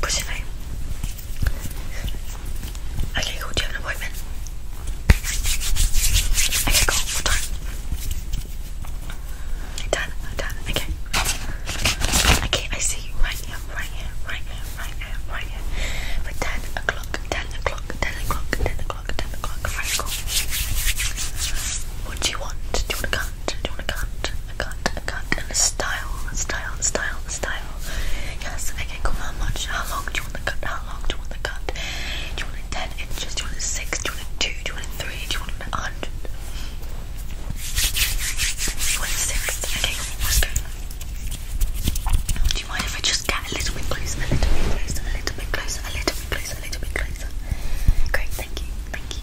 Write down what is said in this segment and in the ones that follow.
Pushing name. Okay, cool. Do you have an appointment? Okay, cool. What time? Done. Done. Okay. Okay, I see you right here, right here, right here, right here, right here. For ten o'clock, ten o'clock, ten o'clock, ten o'clock, ten o'clock. Very cool. What do you want? Do you want a cunt? Do you want a cunt? a cut, a cut, and style, a style, a style, a style. Yes, okay, cool. How much? How long do you want the cut? How long do you want the cut? Do you want 10 inches? Do you want 6? Do you want 2? Do you want 3? Do you want it 100? Do you want 6? Okay, cool. Okay. Do you mind if I just get a little bit closer? A little bit closer, a little bit closer, a little bit closer, a little bit closer. Great, thank you, thank you.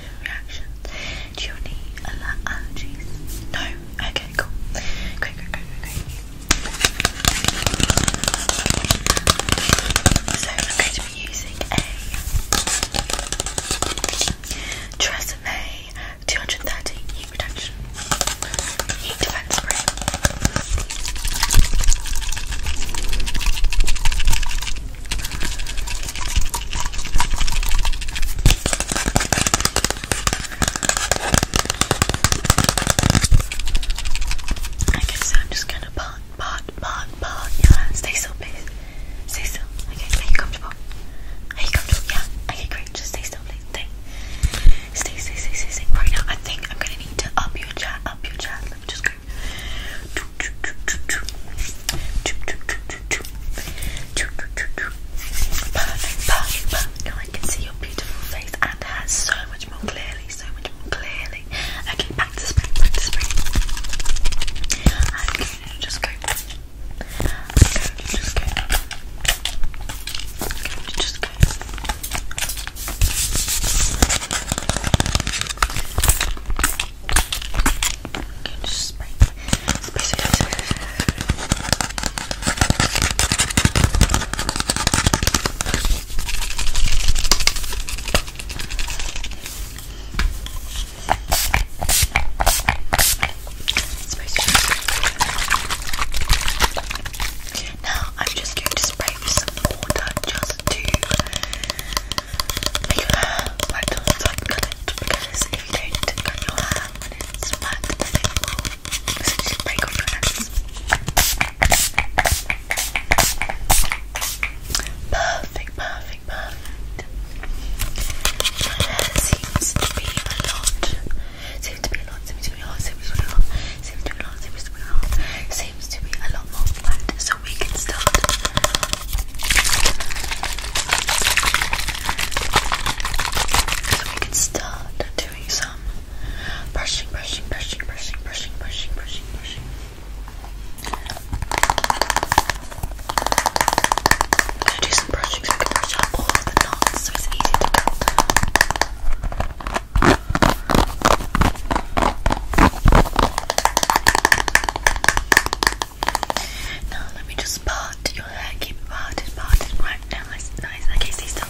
acne reactions? Do you need aller allergies? No? Okay, cool. Great, great, great, great, So I'm going to be using a Tresemme 230 heat Protection heat defense spray. I guess I'm just gonna part, part, part, part. Yeah, stay still, please. Stay still. Okay, are you comfortable? Are you comfortable? Yeah. Okay, great. Just stay still, please. Stay. Stay, stay, stay, Right now, I think I'm gonna need to up your chat, up your chat. Let me just Perfect, perfect, perfect. Now I can see your beautiful face and hair so much more clearly, so much more clearly. Okay, back to spring, back to spring. just go. just go. just go. Now I'm just going to spray with some water just to Perfect, perfect, perfect. seems to be a lot. Seems to be a lot, seems to be a lot, seems to be a lot, seems to be a lot, seems to be a lot, seems to be a lot more flat, so we can start. So we can start doing some brushing, brushing, brushing, brushing, brushing, brushing, brushing, brushing. I'm gonna do some brushing so I can brush out all of the knots so it's easy to cut. Now let me just part your hair, keep it parted, right now. Nice, nice. Okay, stay still.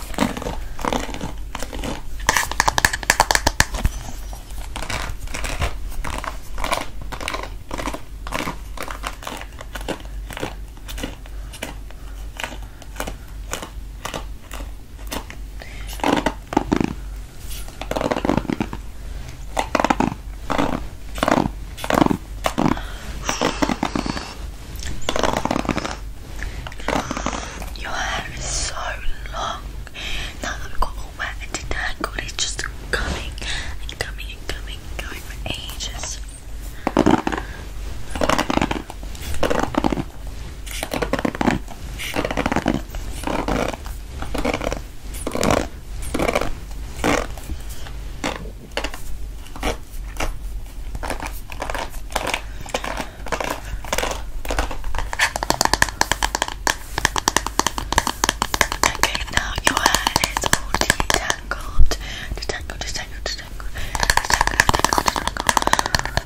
Your hair is so long. Now that we've got all wet and detangled, it's just coming and coming and coming going for ages. Okay, now your hair is all detangled. Detangled, detangled, detangled,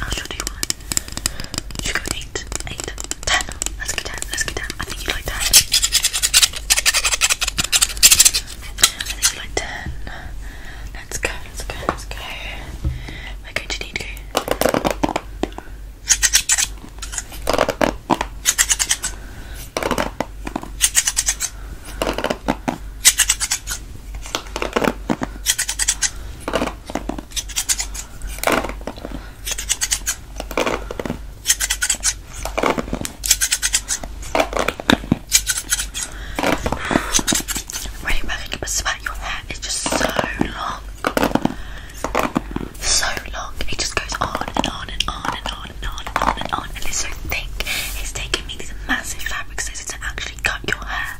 I'll show one. Should go eight, eight, ten. Let's go ten. Let's go ten. I think you like ten. I think you like ten. Let's go. Let's go. Let's go. We're going to need to. Running back into a sweat, your hair is just so long. So long. It just goes on and on and on and on and on and on and on. And it's so thick. It's taking me these massive fabric scissors to actually cut your hair.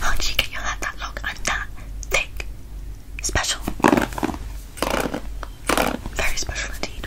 How did you get your hair that long and that thick? Special. Very special indeed.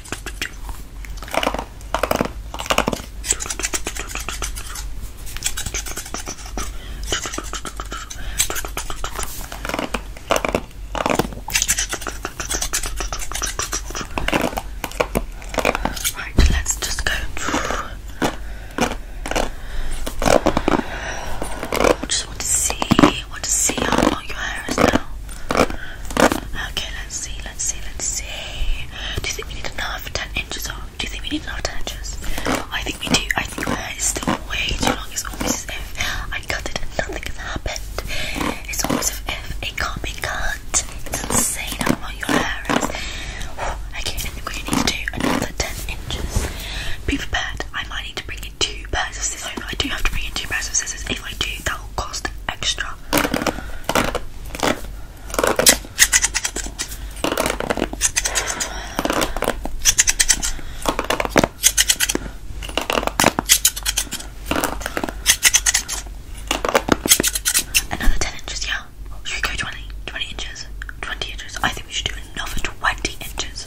Right, let's just go. I just want to see, want to see how long your hair is now. Okay, let's see let's see, let's see. Do you think we need enough 10 inches or do you think we need enough 10 inches? I think we do. I think that is still way too long. It's almost as if I cut it and nothing has happened. It's almost as if it can't be cut. It's insane how long your hair is. Okay, I think we need to do another 10 inches. Be prepared. I might need to bring in two pairs of scissors. I do have to bring in two pairs of scissors. If I do, that will cost extra. Another 10 inches, yeah. Oh, should we go 20? 20 inches? 20 inches? I think we should do another 20 inches.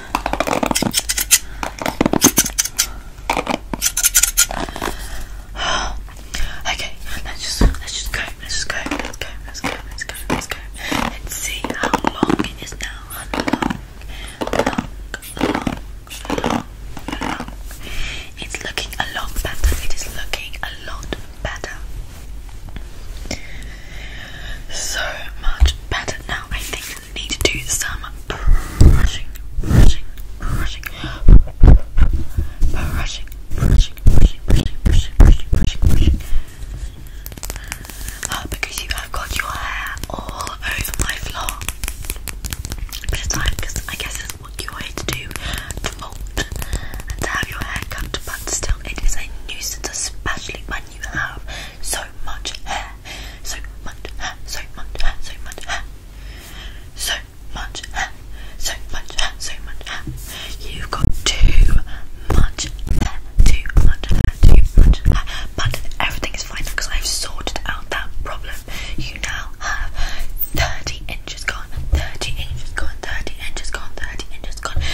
Okay, let's just let's just go, let's just go, let's go, let's go, let's go, let's go. Let's see how long it is now. Long, long, long, long, long. It's looking a lot better. It is looking a lot better so much better now. I think I need to do some brushing, brushing, brushing, brushing, brushing, brushing, brushing, brushing, brushing, brushing, brushing. Uh, because you have got your hair all over my floor. But it's time because I guess it's what you're here to do to mold and to have your hair cut, but still, it is a nuisance, especially when and you have so much hair, so much hair, so much hair, so much hair, so much hair, so much hair, so much hair. You've got too much hair, too much hair, too much hair. But everything is fine because I've sorted out that problem. You now have 30 inches gone, 30 inches gone, 30 inches gone, 30 inches gone.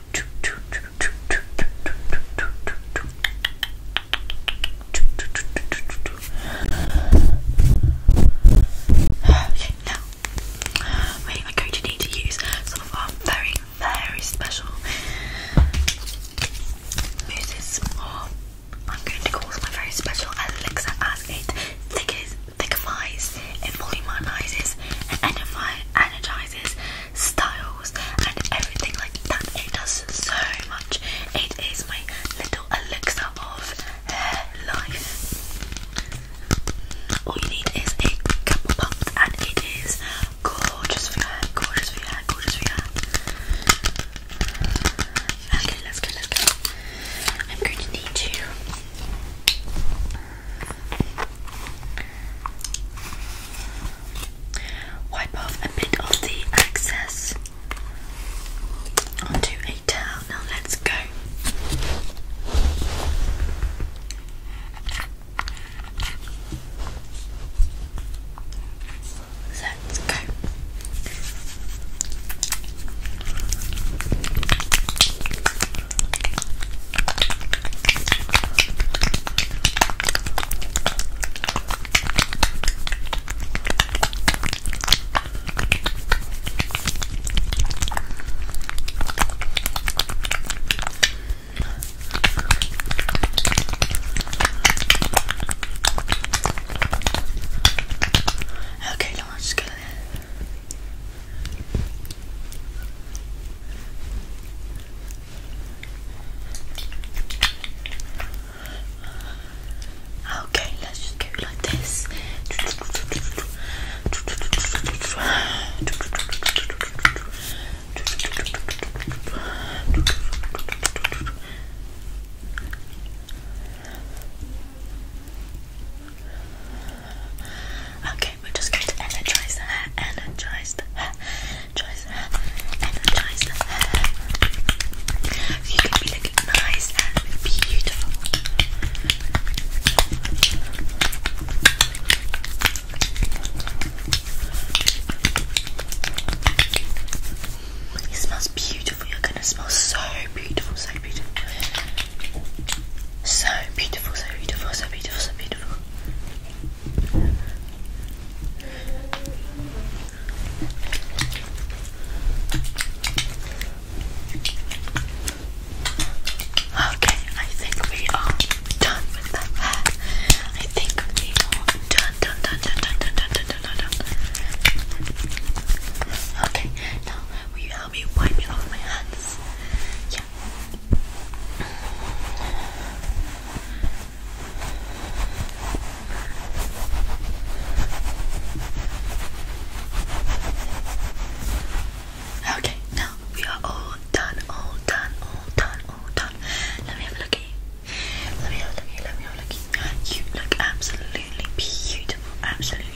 Okay, now we are going to need to use some of our very, very special mousses, or I'm going to call my very special elixir as it thickens, thickifies, emoluminises, and energizes styles and everything like that. It does so much. It is my little elixir of hair life. All you need is a couple pumps and it is gorgeous for your hair, gorgeous for your hair, gorgeous for your hair. Okay, let's go, let's go. I'm going to need to Wipe off a bit of the excess onto a towel. Now let's go. Let's go. Okay, now I'm just gonna Okay, let's just go like this. Okay, we're just going to energize the hair, energize the hair, energize the hair, energize the hair. You can be looking nice and beautiful. It smells beautiful. You're gonna smell so beautiful, so beautiful. So beautiful, so beautiful, so beautiful, so beautiful. Okay, I think we are done with the I think we are done, done, done, done, done, done, done, done, done, Okay, now will you help me wipe it my hands? Yeah, Okay, now we are all done, all done, all done, all done. Let me have a look at you. Let me look let me have a look You look absolutely beautiful, absolutely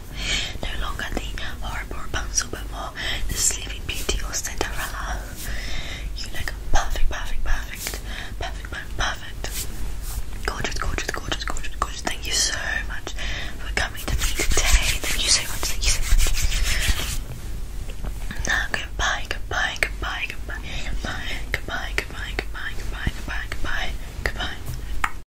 no longer the horrible Rapunzel, but more the Sleeping Beauty or Cinderella. You look perfect, perfect, perfect, perfect, perfect. Gorgeous, gorgeous, gorgeous, gorgeous, gorgeous. Thank you so much for coming to me today. Thank you so much, thank you so much. Now, goodbye, goodbye, goodbye, goodbye, goodbye, goodbye, goodbye, goodbye, goodbye, goodbye, goodbye. goodbye.